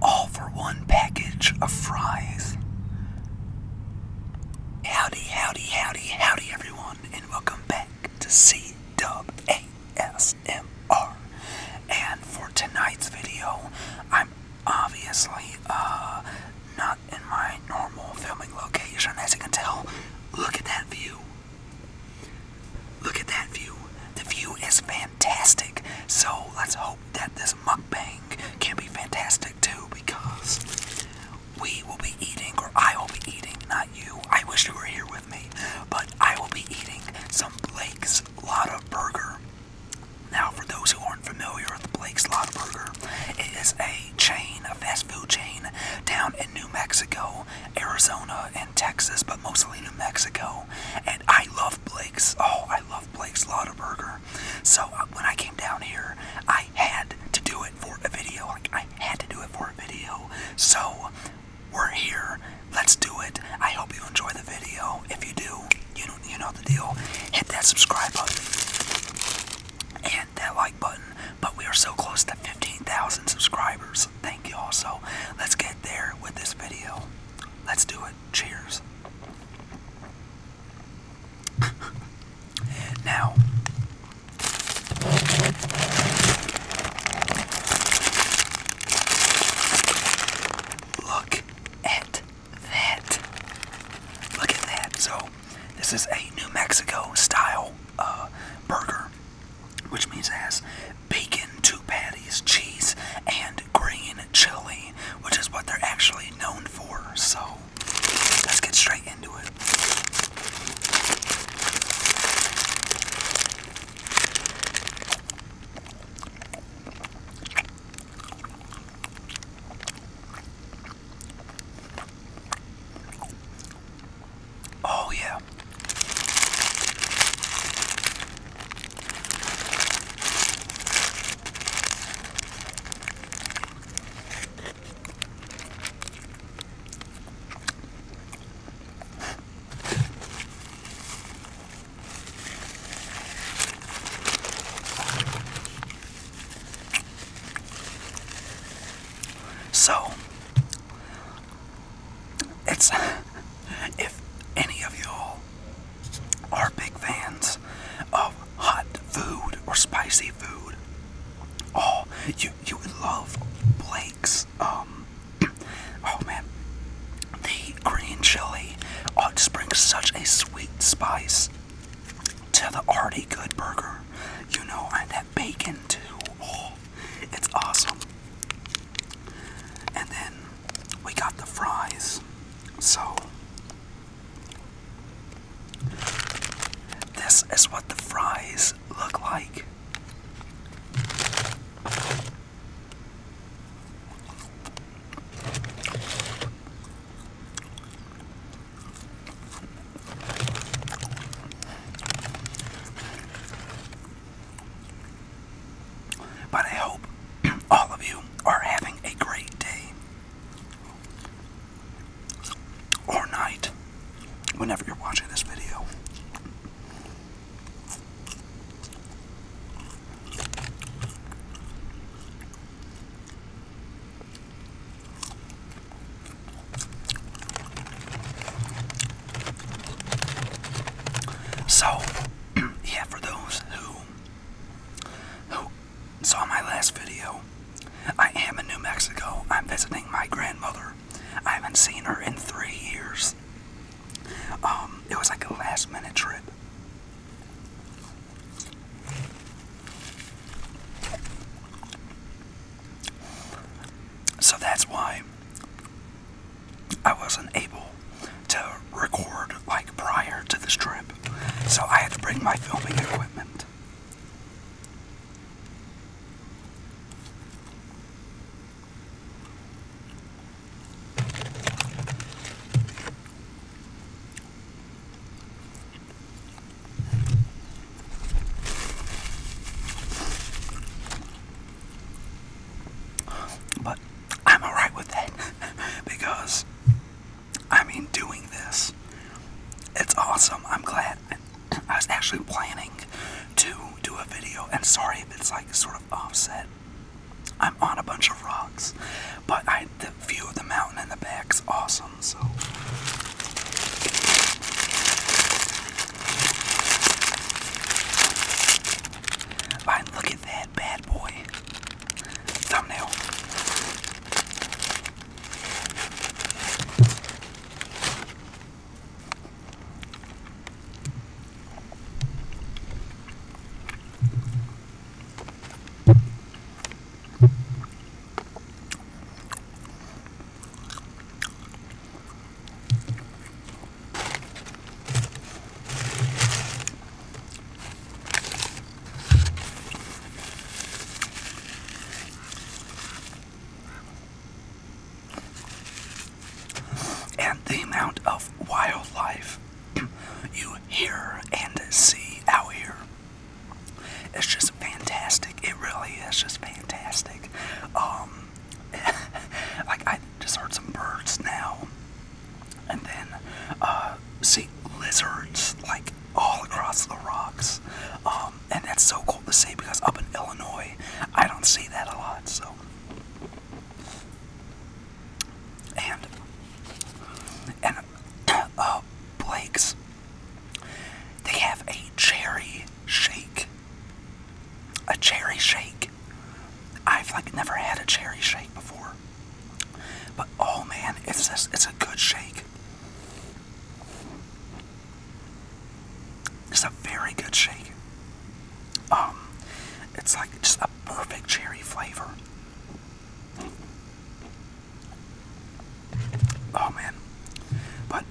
All for one package of fries. Howdy, howdy, howdy, howdy, everyone, and welcome back to C And for tonight's video, I'm obviously uh, not in my normal filming location, as you can tell. Look at that view. Look at that view. The view is fantastic fantastic. So let's hope that this mukbang can be fantastic too because we will be eating, or I will be eating, not you. I wish you were here with me, but I will be eating some Blake's Lotta Burger. Now, for those who aren't familiar with Blake's Lotta Burger, it is a chain, a fast food chain down in New Mexico, Arizona, and Texas, but mostly New Mexico. I love Blake's. Oh, I love Blake's Lauderburger. So uh, when I came down here, I had to do it for a video. Like I had to do it for a video. So we're here. Let's do it. I hope you enjoy the video. If you do, you know, you know the deal. Hit that subscribe button and that like button. But we are so close to 15,000 subscribers. Thank you all. So let's get there with this video. Let's do it. Cheers. now, look at that. Look at that. So, this is a New Mexico style uh, burger which means it has bacon, two patties, cheese, and green chili, which is what they're actually known for. So let's get straight into it. Oh, yeah up. So, it's if any of y'all are big fans of hot food or spicy food, oh, you you would love Blake's. Um, oh man, the green chili oh, just brings such a sweet spice to the already good burger. You know, and that bacon too. Oh, it's awesome. And then we got the fries. So, this is what the fries look like. But I hope all of you are having a great day or night whenever you're watching this video. So, yeah, for those who who saw my last video, I am in New Mexico. I'm visiting my grandmother. I haven't seen her in three years. Um, it was like a last minute trip. So that's why I wasn't able to record like prior to this trip, so I had to bring my filming equipment. But I'm alright with that because I mean, doing this, it's awesome. I'm glad. I was actually planning to do a video, and sorry if it's like sort of offset. I'm on a bunch of rocks, but I, the view of the mountain in the back back's awesome, so. And look at that bad boy. Thumbnail. And the amount of wildlife you hear and see out here. It's just fantastic. It really is just fantastic. Um, like I just heard some birds now, and then uh, see lizards like all across the rocks, um, and that's so cool to see because up in Illinois I don't see that a lot. So, and and uh, Blake's, they have a cherry shake a cherry shake. I've like never had a cherry shake before. But oh man, it's just, it's a good shake. It's a very good shake. Um it's like just a perfect cherry flavor. Oh man. But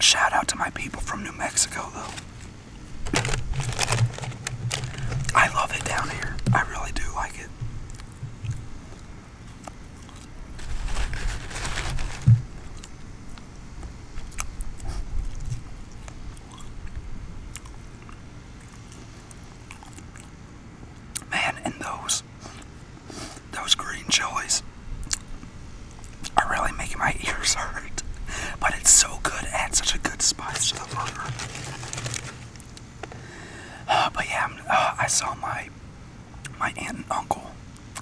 Shout out to my people from New Mexico, though. I love it down here. I really do like it. Man, and those those green chilies are really making my ears hurt. But it's so good, and such a good spice to the burger. Uh, but yeah, uh, I saw my my aunt and uncle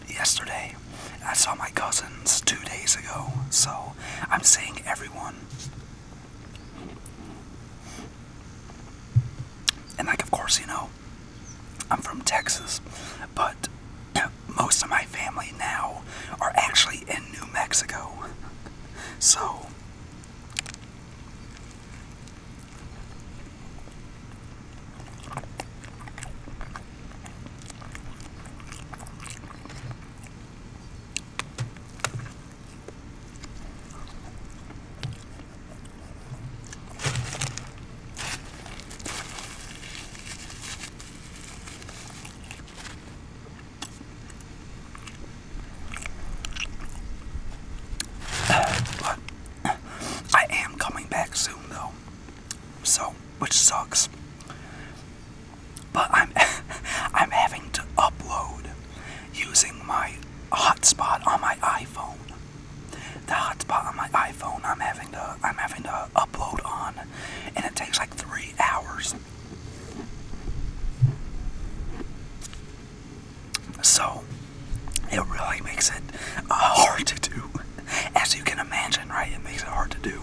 yesterday. I saw my cousins two days ago, so I'm seeing everyone and, like, of course, you know, I'm from Texas, but most of my family now are actually in New Mexico. So, but I am coming back soon though. So, which sucks. But I'm I'm having to upload using my hotspot on my iPhone. The hotspot on my iPhone I'm having to I'm having to upload on and it takes like three hours. So it really makes it uh, hard to do. As you can imagine, right? It makes it hard to do.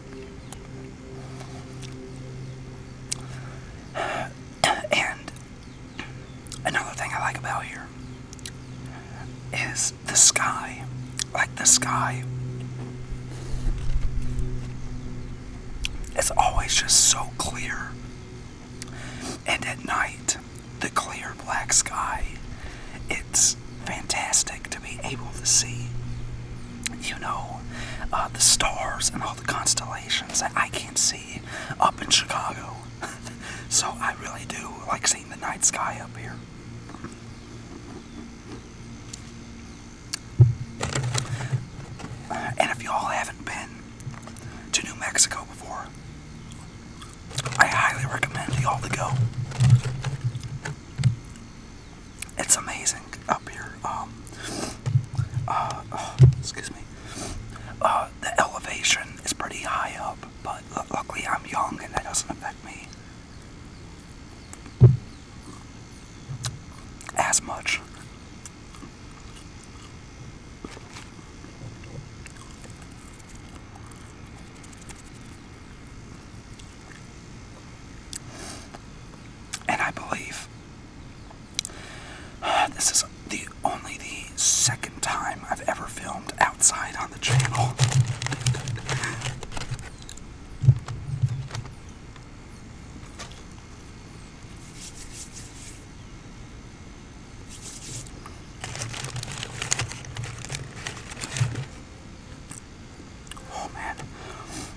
And another thing I like about here is the sky. Like the sky it's always just so clear. And at night, the clear black sky it's fantastic to be able to see, you know, uh, the stars and all the constellations that I can't see up in Chicago. so I really do like seeing the night sky up here. And if you all haven't been to New Mexico before, I highly recommend you all to go. It's amazing up here. Um, uh, uh, excuse me. Uh, the elevation is pretty high up, but luckily I'm young and that doesn't affect me as much. And I believe this is the only the second time I've ever filmed outside on the channel. Oh man,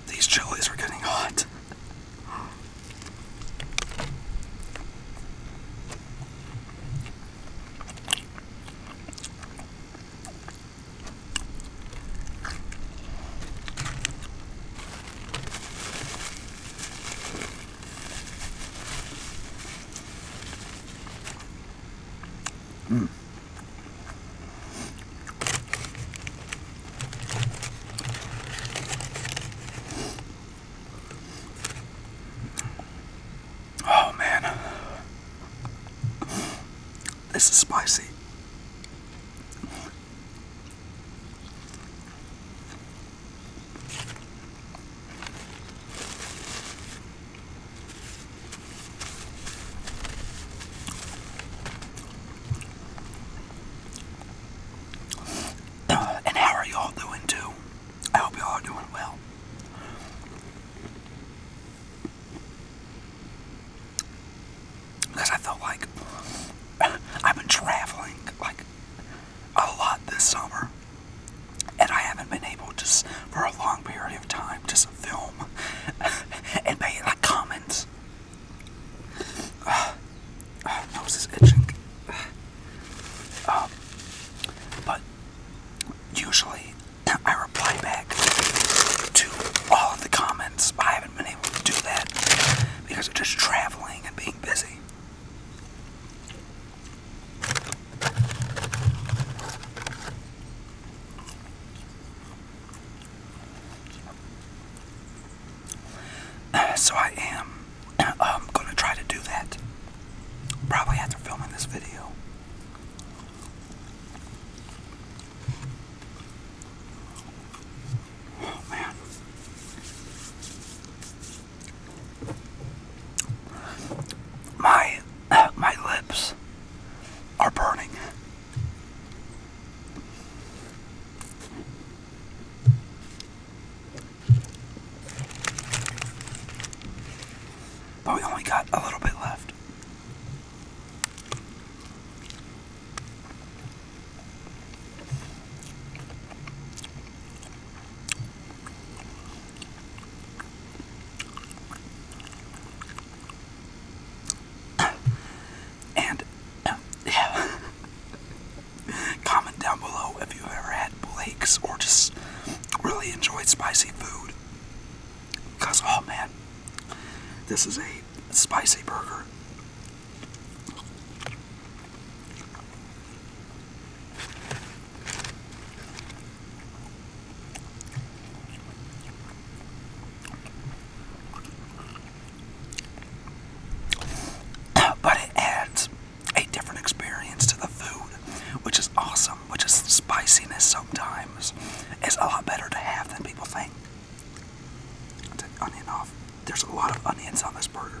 these chilies are getting hot. Mm. Oh man, this is spicy. And how are y'all doing too? I hope y'all are doing well. Because I felt like I've been traveling like a lot this summer, and I haven't been able to, for a long period of time, just film and made like comments. Uh, nose is itching. Ah. Um, but usually I reply back to all of the comments. I haven't been able to do that because of just traveling and being busy. So I am um, going to try to do that probably after filming this video. Oh man. My my lips are burning. But we only got a little bit left and um, yeah. comment down below if you've ever had Blake's or just really enjoyed spicy food. Because, oh man, this is a spicy burger. but it adds a different experience to the food, which is awesome, which is spiciness sometimes. It's a lot better to have than people think. take onion off. There's a lot of onions on this burger.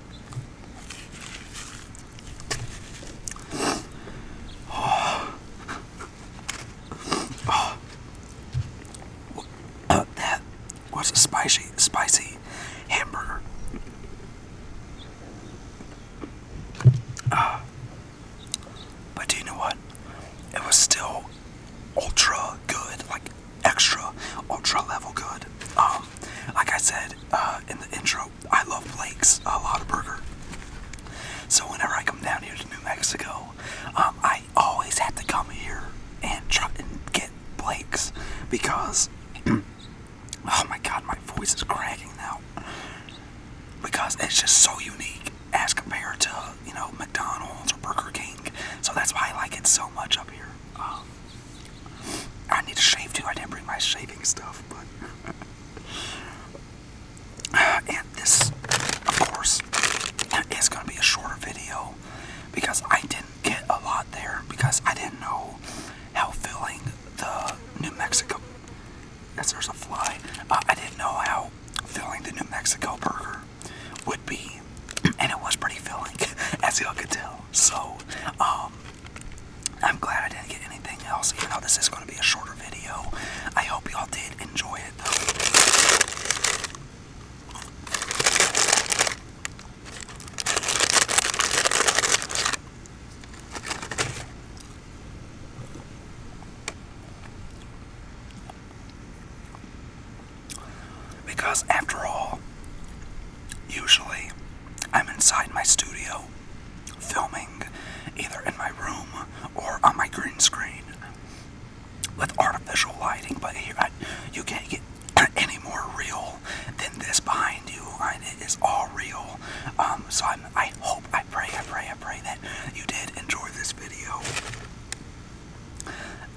was a spicy, spicy hamburger. Uh, but do you know what? It was still ultra good. Like extra ultra level good. Um, like I said uh, in the intro, I love Blake's a lot of burger. So whenever I come down here to New Mexico, um, I always have to come here and try and get Blake's because oh my god, my voice is cracking now because it's just so unique as compared to you know McDonald's or Burger King. So that's why I like it so much up here. Um, I need to shave too. I didn't bring my shaving stuff, but. and this, of course, is going to be a shorter video because I didn't get a lot there because I didn't know how filling the New Mexico. Yes, there's a fly. Uh, I didn't know how filling the New Mexico burger would be, and it was pretty filling, as y'all could tell. So, um, I'm glad I didn't get anything else, even though this is going to be a shorter video. I hope y'all did enjoy it, though. Because after all, usually I'm inside my studio filming either in my room or on my green screen with artificial lighting, but here I, you can't get any more real than this behind you. and it is all real. Um, so I'm, I hope, I pray, I pray, I pray that you did enjoy this video.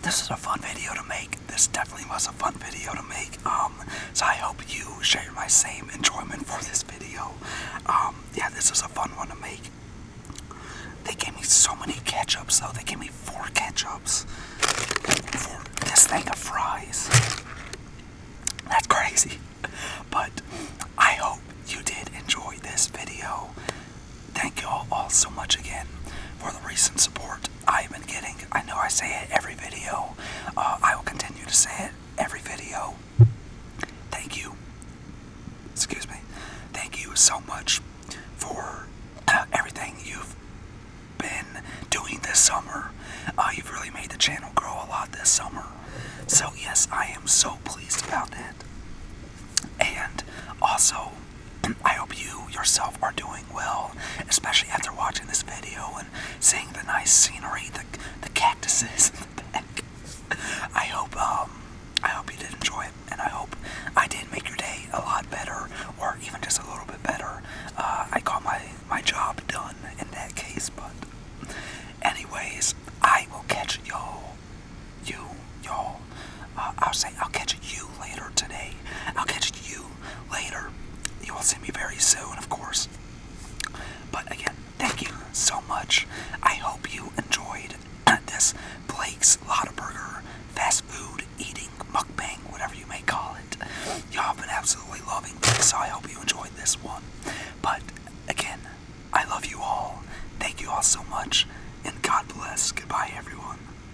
This is a fun video to make. This definitely was a fun video to make. Um, so I hope you share my same enjoyment for this video. Um, yeah, this is a fun one to make. They gave me so many ketchups though. They gave me four ketchups for this thing of fries. That's crazy. But I hope you did enjoy this video. Thank you all, all so much again for the recent support. I have been getting, I know I say it every video, uh, I will continue to say it every video. Thank you, excuse me, thank you so much for uh, everything you've been doing this summer. Uh, you've really made the channel grow a lot this summer. So yes, I am so pleased about that. And also, I hope you yourself are doing well, especially after watching this video and seeing the nice scenery, the, the cactuses I hope um, I hope you did enjoy it, and I hope I did make your day a lot better, or even just a little bit better. Uh, I got my my job done in that case, but anyways, I will catch y'all, you y'all I'll say I'll catch you later today. I'll catch you later. You will see me very soon, of course. But again, thank you so much. I hope you enjoyed this Blake's Lottaburger fast food eating mukbang, whatever you may call it. Y'all have been absolutely loving this, so I hope you enjoyed this one. But again, I love you all. Thank you all so much, and God bless. Goodbye, everyone.